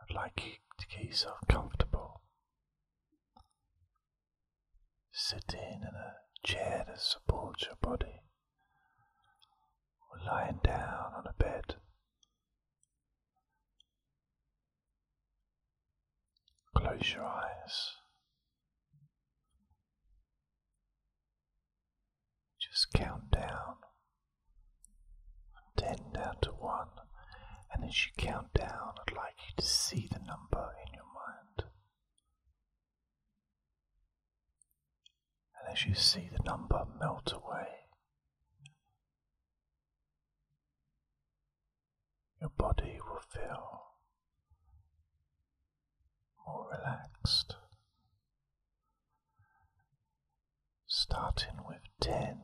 I'd like you to get yourself comfortable. Sitting in a chair that supports your body, or lying down on a bed. Close your eyes. Just count down. From 10 down to 1. And as you count down, I'd like you to see the number in your mind. And as you see the number melt away, your body will feel more relaxed. Starting with 10.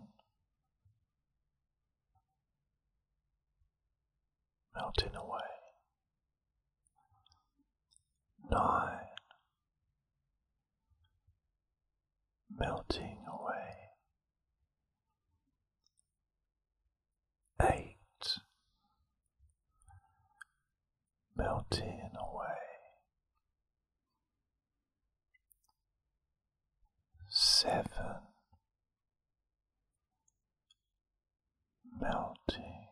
Melting away. 9. Melting away. 8 melting away. Seven melting,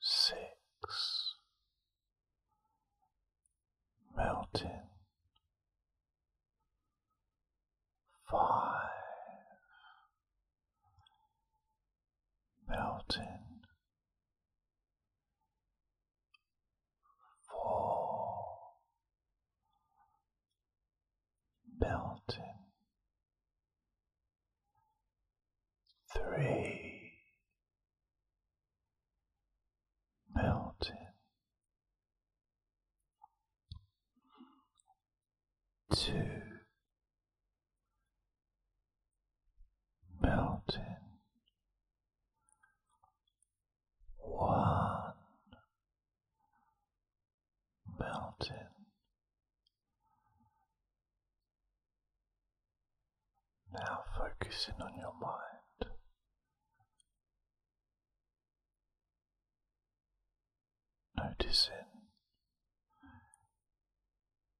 six melting five, melting, four, melting, three, melting two melting one melting now focusing on your mind Noticing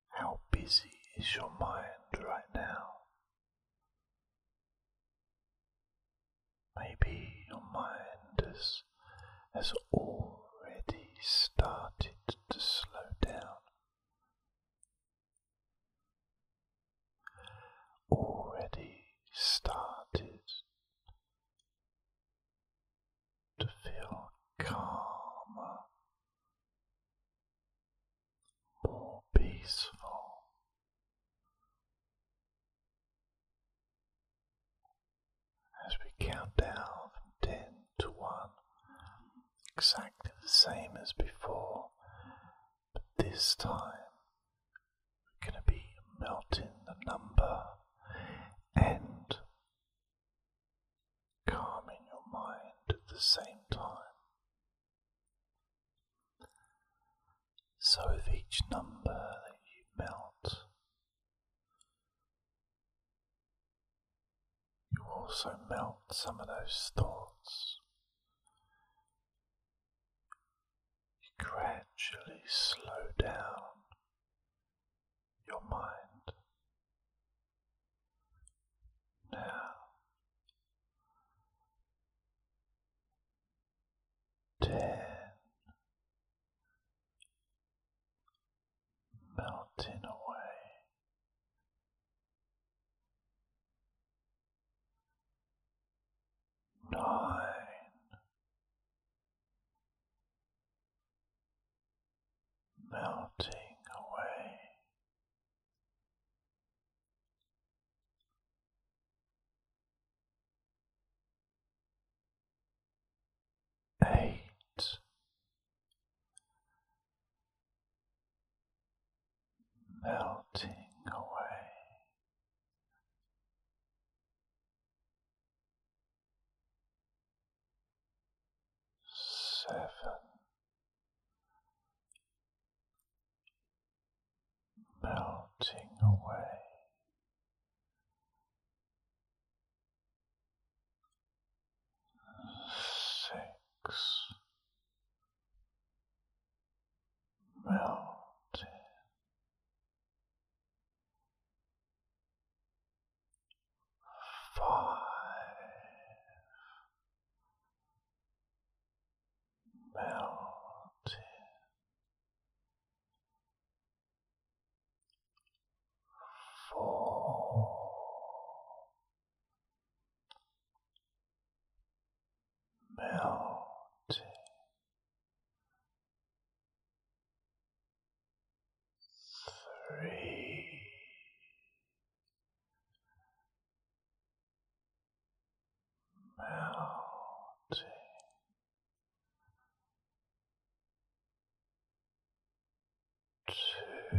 how busy is your mind right now. Maybe your mind has, has already started to slow down. Already started to feel calmer, more peaceful. As we count down from ten to one, exactly the same as before, but this time going to be melting the number and calming your mind at the same time. So, with each number that you melt, you also melt some of those thoughts gradually slow down your mind. Now, ten. Melting away nine, melting away. Eight, melting away seven, melting away, six, melting five, melting, four, melting three, melting. Two,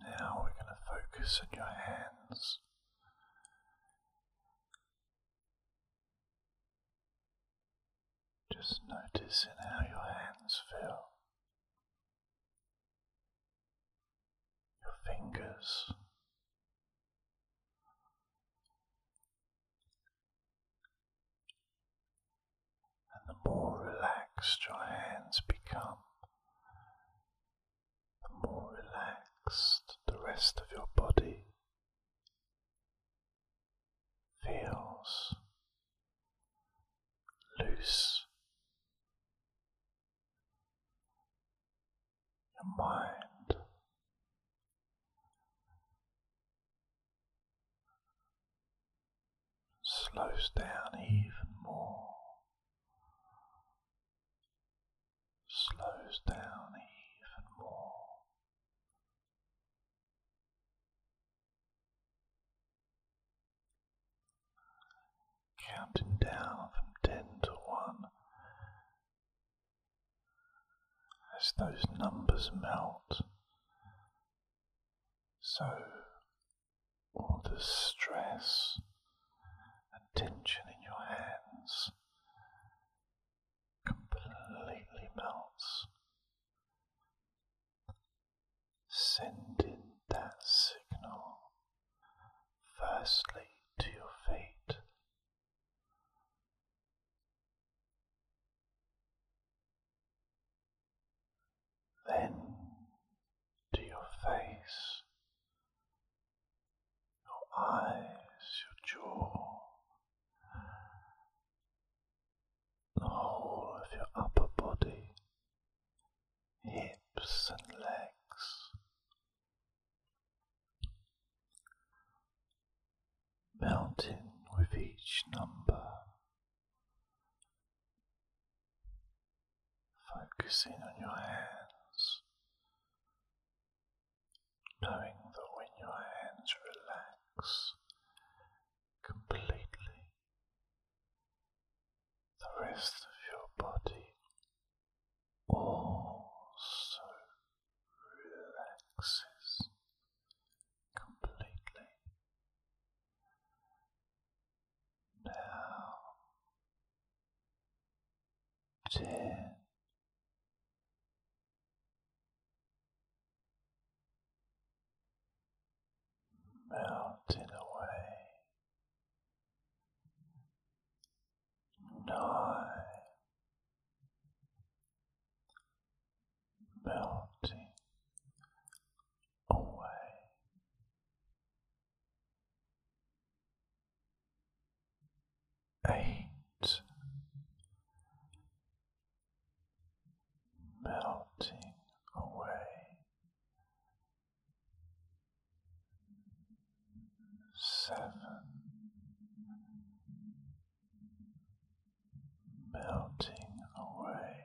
Now we're going to focus on your hands. Just noticing how your hands feel, your fingers. and The more relaxed your hands become, the more relaxed the rest of your body feels loose. Your mind slows down even more, slows down even more. Counting down from ten to one as those numbers melt, so all the stress and tension in your hands completely melts. Sending that signal firstly to your feet then to your face, your eyes, your jaw, the whole of your upper body, hips and legs. Melting with each number Focusing on your hands, knowing that when your hands relax completely, the rest of your body also relaxes completely. Now, ten, melting away, nine, melting away. Eight melting away, seven melting away.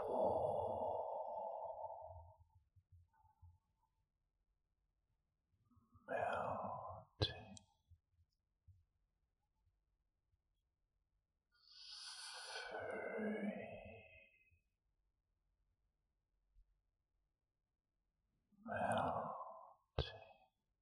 four, melting, three. Melting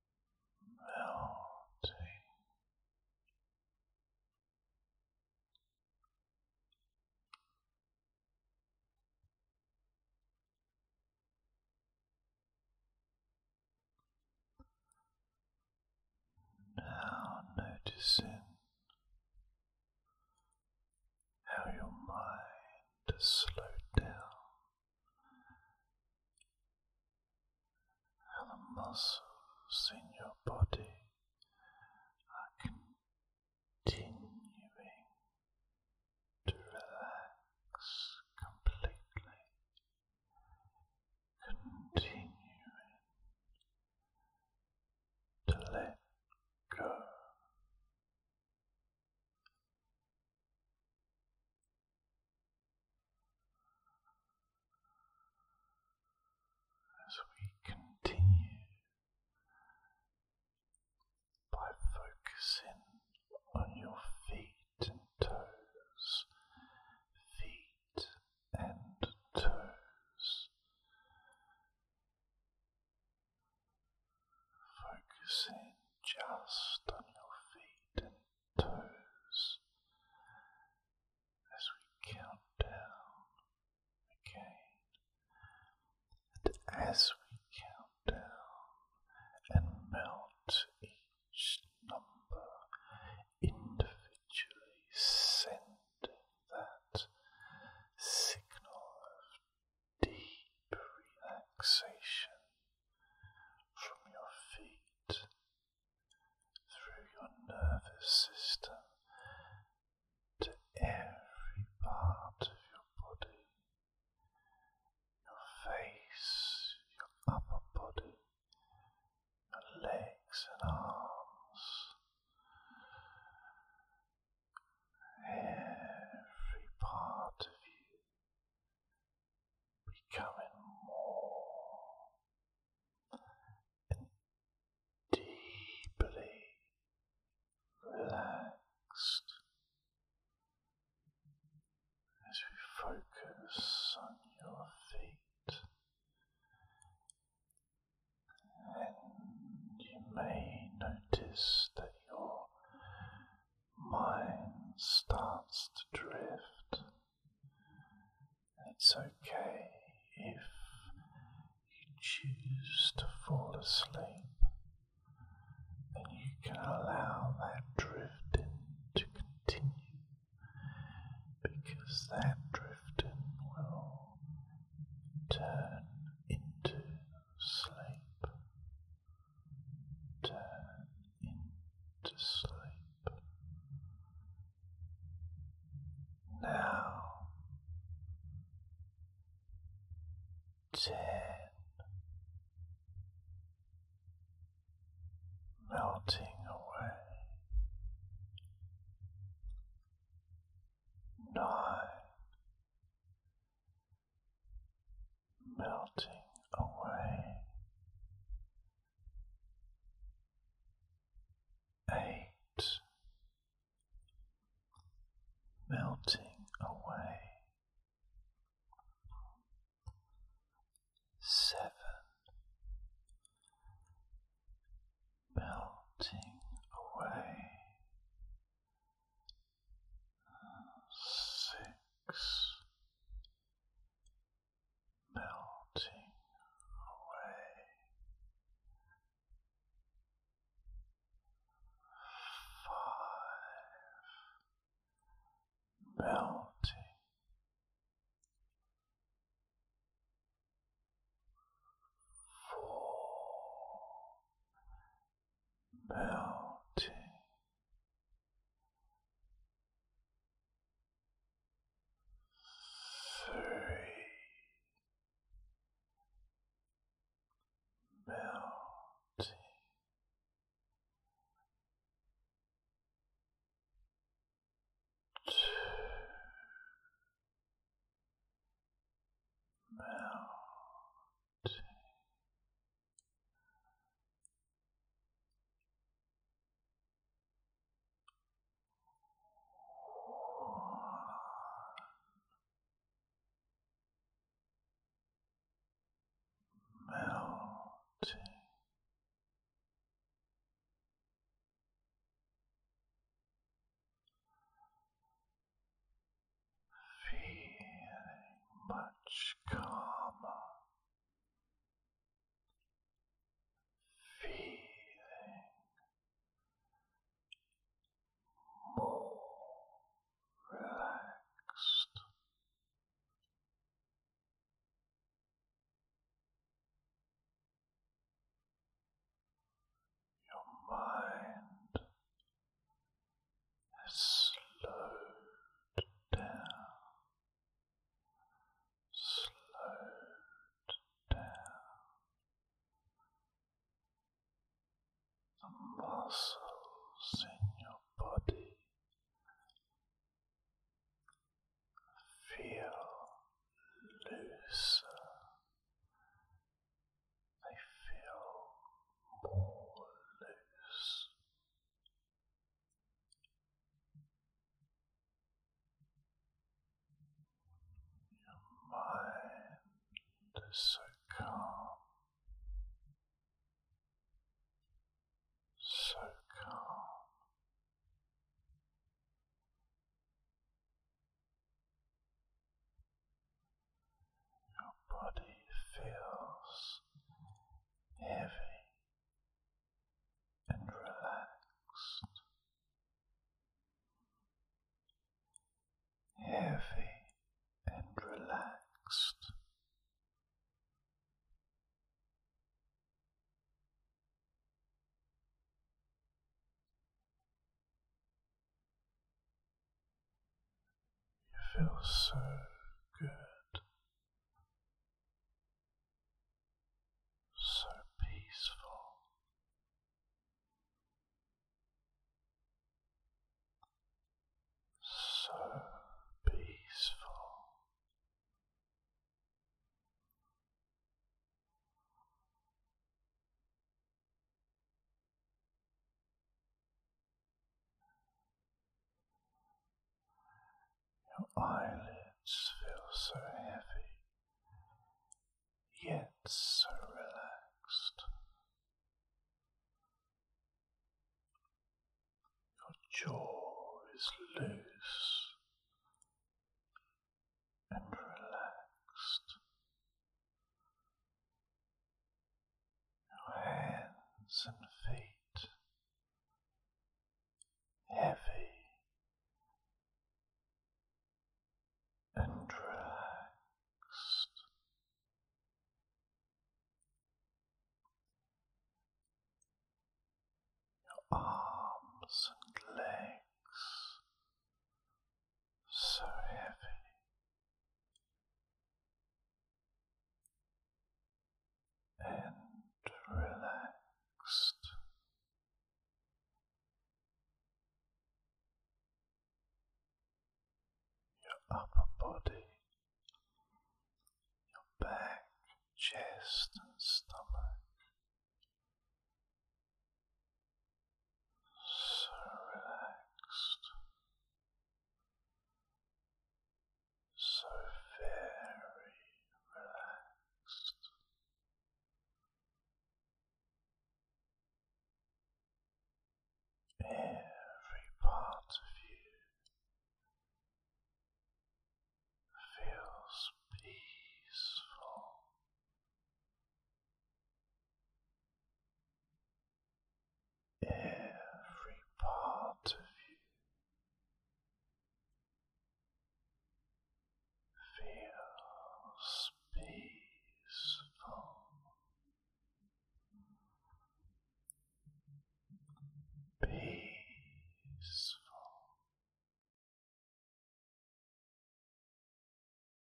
melting. Now noticing how your mind has slowed down how the muscles in your body are continuing to relax completely, continuing to let go. As we continue by focusing on your feet and toes, feet and toes, focusing just on your feet and toes as we count down again. And as we count down and melt each number individually, sending that signal of deep relaxation from your feet through your nervous system to every part of your body, your face, your upper body, your legs and arms, every part of you becoming more and deeply relaxed as we focus on your feet and you may notice that your mind starts to drift. It's okay if you choose to fall asleep, and you can allow that drifting to continue because that drifting will turn into sleep, turn into sleep. Now ten melting away nine melting away. Eight melting away. Seven melting away six melting away five melting four melting. Three melting. Two melting melting feeling much calmer, feeling more relaxed. Your mind Slow down, Slow down. The muscles in your body feel looser they feel more loose. Your mind is so calm, so calm. Your body feels heavy and relaxed, heavy and relaxed. You feel so good, so peaceful. So peaceful. Your eyelids feel so heavy, yet so relaxed. Your jaw is loose and relaxed hands and feet heavy and relaxed. Your arms and legs so heavy and relaxed. Your upper body, your back, chest, and stomach so relaxed, so very relaxed. Every part of you feels peaceful every part of you feels peaceful. Peaceful,